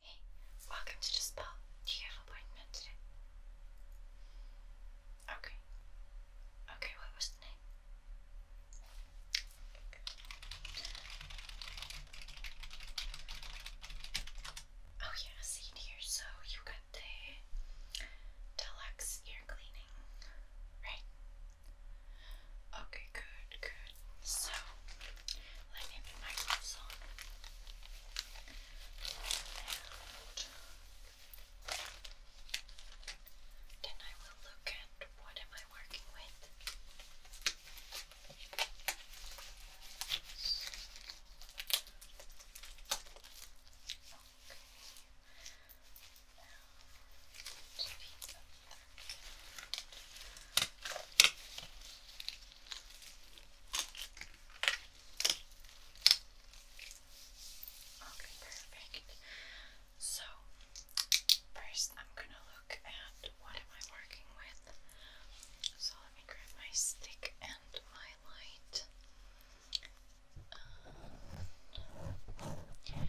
Hey, welcome to the spa. Do you have an appointment today? Okay. Okay, what was the name? Oh yeah, I see here. So you got the deluxe ear cleaning, right? Okay, good, good. So let me put my gloves on. And then I will look at what am I working with. Okay. Now, Okay, perfect. So, first I'm gonna look at what am I working with. So let me grab my stick and my light. Um, and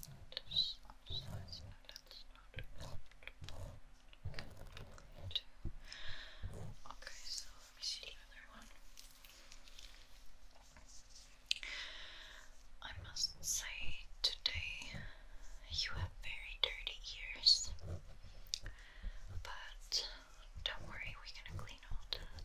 Just size, no, that's not too. Okay, so let me see the other one. I must say, today you have very dirty ears, but don't worry, we're gonna clean all that.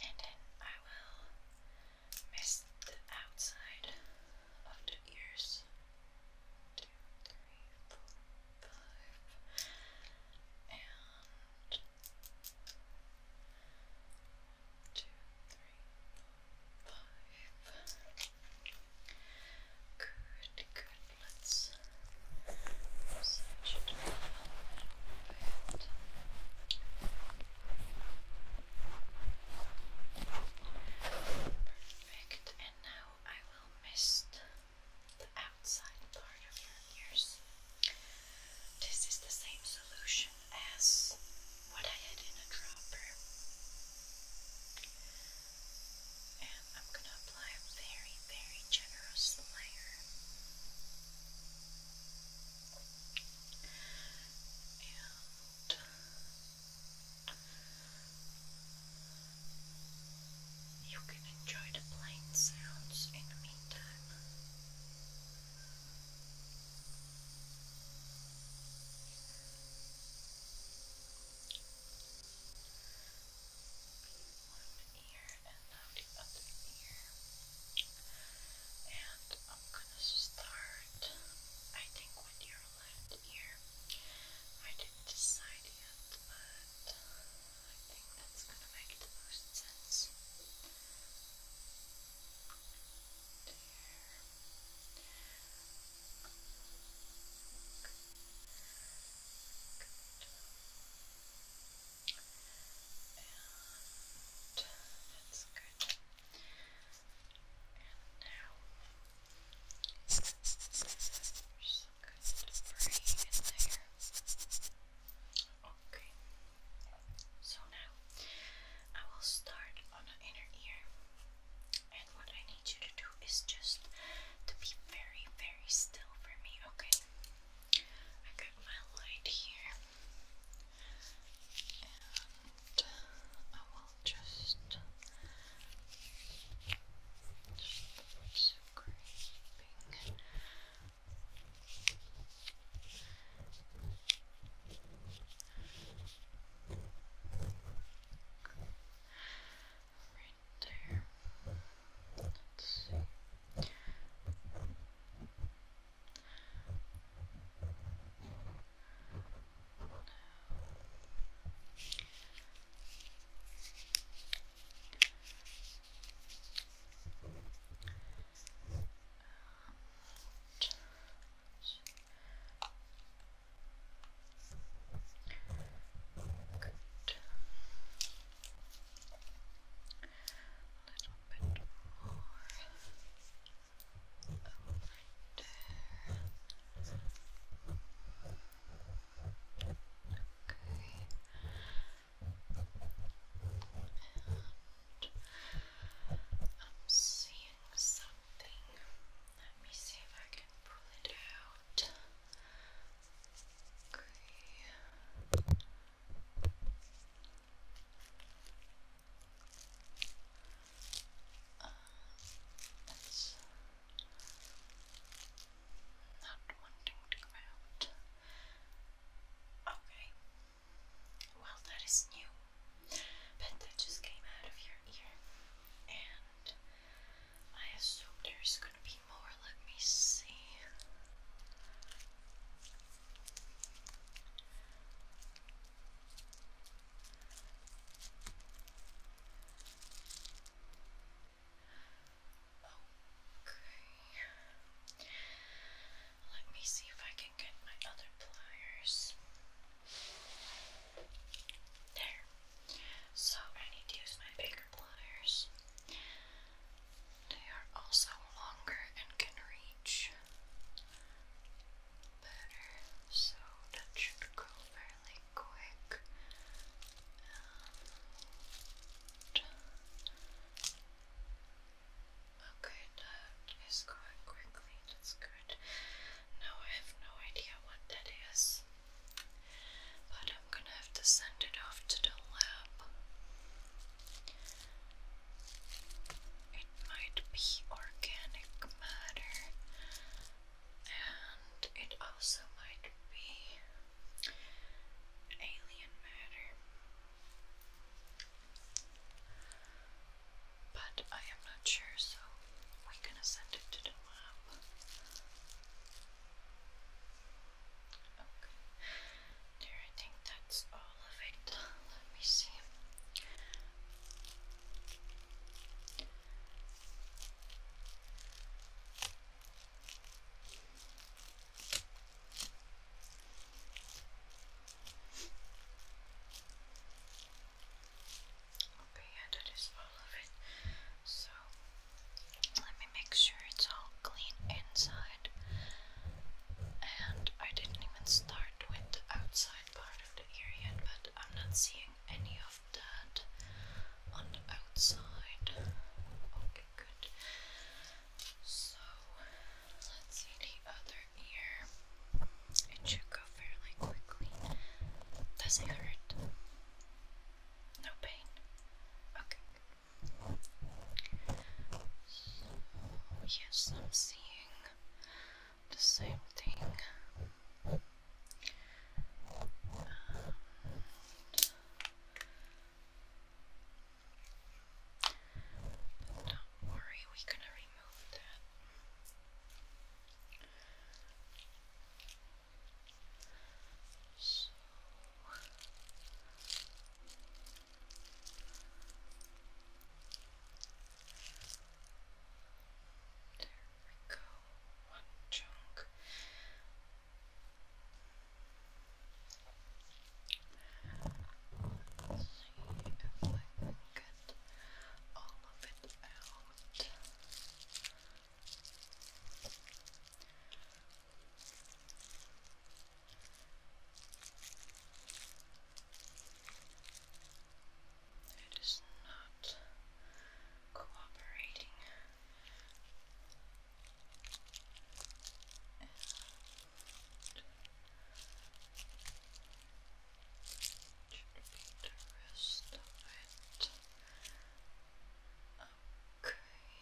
and then I will mist the outside of the ears. Two, three, four, five, and two, three, four, five. Good, good, let's search Perfect, and now I will mist the outside part of your ears. This is the same solution as what I had in a dropper. And I'm going to apply a very, very generous layer. And you can enjoy the plain sounds in the meantime ear and the other ear. And I'm gonna start, I think, with your left ear. I didn't decide yet, but I think that's gonna make the most sense that's good. And now we're just going to bring Okay. So now I will start on the inner ear. And what I need you to do is just to be very, very still for me, okay? I got my light here, and I will just. just scraping right there. Let's see. A little bit more over there. Okay. And I'm seeing something. Let me see if I can pull it out. Okay. not wanting to come out. Okay. Well, that is new. But that just came out of your ear. And I assume there's gonna be more. Let me see. Okay. Let me see if I can get my other pliers. There. So I need to use my bigger pliers. They are also longer and can reach better, so that should go fairly quick. okay, that is going quickly, that's good. Now I have no idea what that is. But I'm gonna have to send it off to the lab. It might be organic matter, and it also might be alien matter. But I am not sure, so we're gonna send it to the lab. Okay. There, I think that's all of it. Let me see. Okay, yeah, that is all of it. So, let me make sure it's all clean inside. And I didn't even start with the outside part of the ear yet, but I'm not seeing any of that on the outside. Okay, good. So, let's see the other ear. It should go fairly quickly. Does it hurt? No pain? Okay. yes, I'm seeing the same thing. Um, don't worry, we're gonna remove that so there we go, one chunk. Let's see if I get all of it out out. It is not cooperating the rest of it. Okay.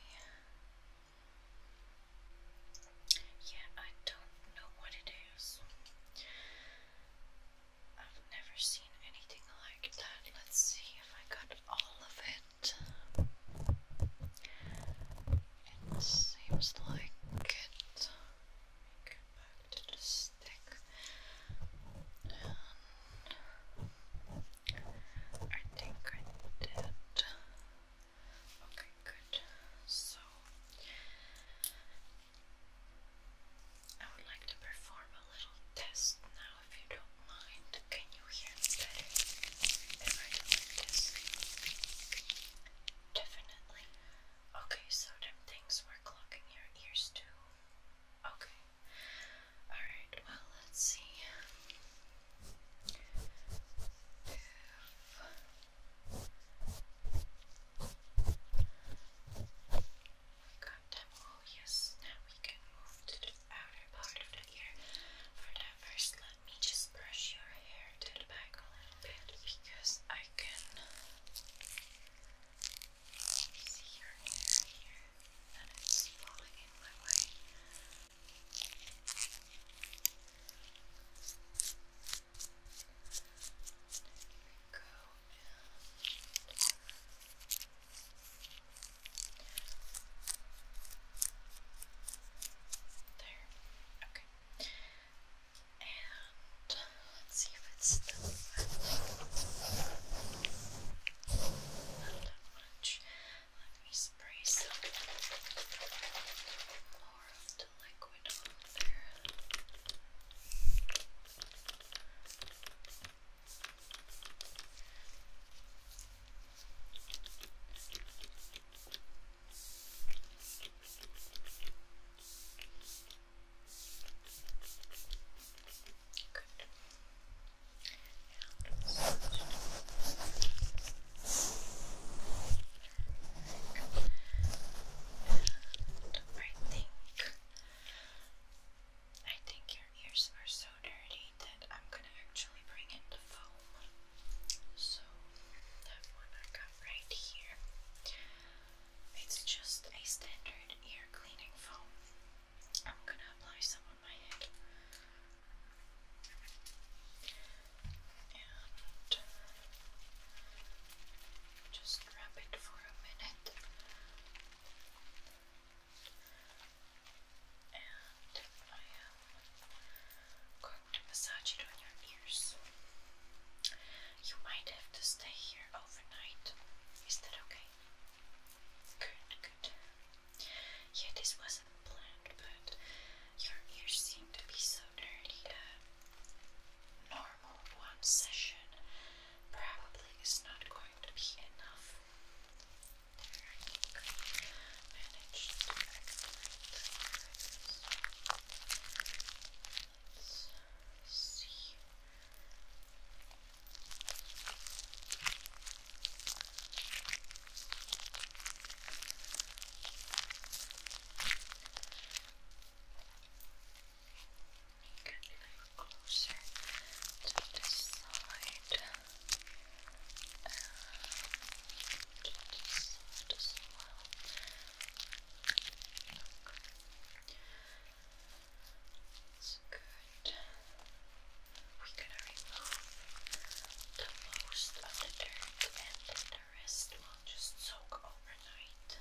Yeah, I don't know what it is. I've never seen anything like that. Let's see if I got all of it. It seems like it. I think I did. Okay, good. So I would like to perform a little test now if you don't mind. Can you hear me like this? Definitely. Okay, so them things were clocking your ears too. Okay. Alright, well, let's see. If... Got them. Oh, yes. Now we can move to the outer part of the ear. For that, first, let me just brush your hair to the back a little bit because I can see your hair here, and it's falling in my way. Go and there. Okay let's see if it's still not Let me spray some more of the liquid on there. I think your ears are so dirty that I'm gonna actually bring in the foam. So that one I got right here. It's just a standard ear cleaning foam. I'm gonna apply some on my head. And just wrap it for a minute. And I am to massage it on your ears. You might have to stay here overnight. Is that okay? Good, good. Yeah, this wasn't planned, but your ears seem to be so dirty that normal one session probably is not going to be enough. There, I think I managed to Let's see. Get a little closer to this side. And to this side as well. That's good. We're gonna remove the most of the dirt and the rest will just soak overnight.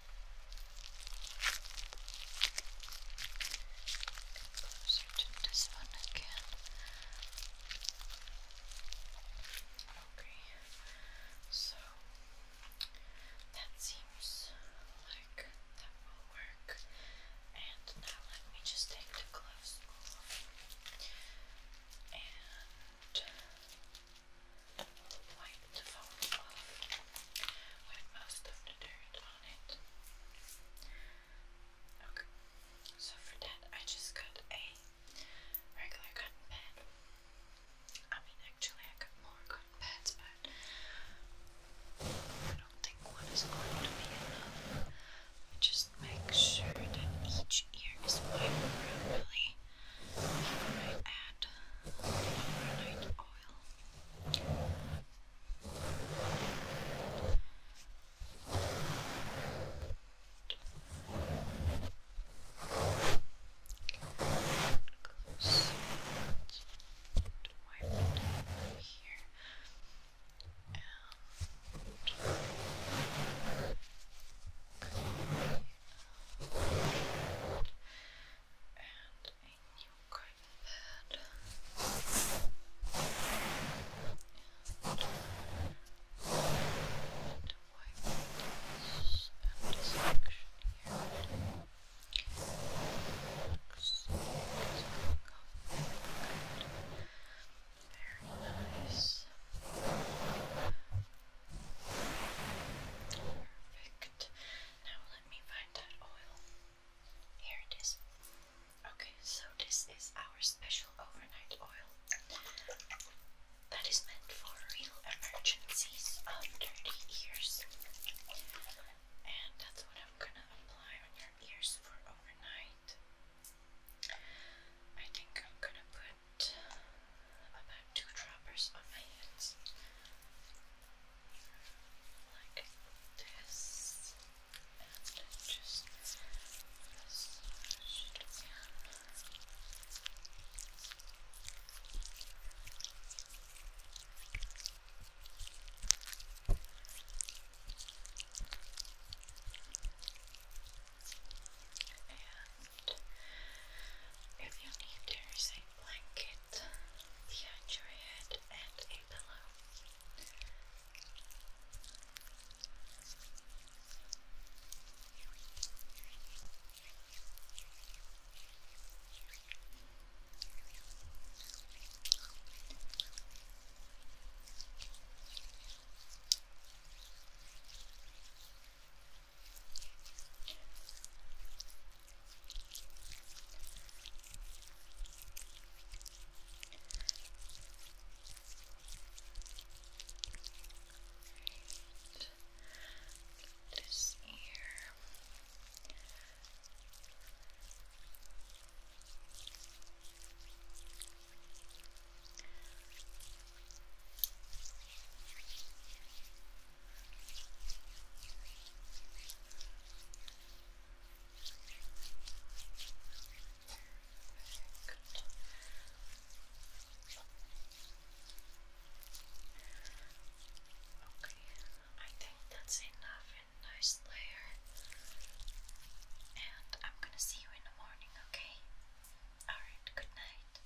Closer to this one again. Okay, so that seems like that will work. And now let me just take the gloves off and wipe with most of the dirt on it. Okay, so for that I just got a regular cotton pad. I mean actually I got more cotton pads but I don't think one is going to be enough. just make sure that each ear is wiped properly. I might overnight oil. Close. Wipe it over here. And Okay, and you grab that. And to wipe this and this section here. Very nice. Perfect. Now let me find that oil. Here it is. Okay, so this is our special overnight oil that is meant for real emergencies of dirty ears. And that's what I'm gonna apply on your ears for overnight. I think I'm gonna put about two droppers on my hands. Like this. And just massage it down. And soft. If you need, there is a blanket behind your head and a pillow. This ear. Okay. I think that's enough and nice layer. And I'm gonna see you in the morning, okay? Alright, good night.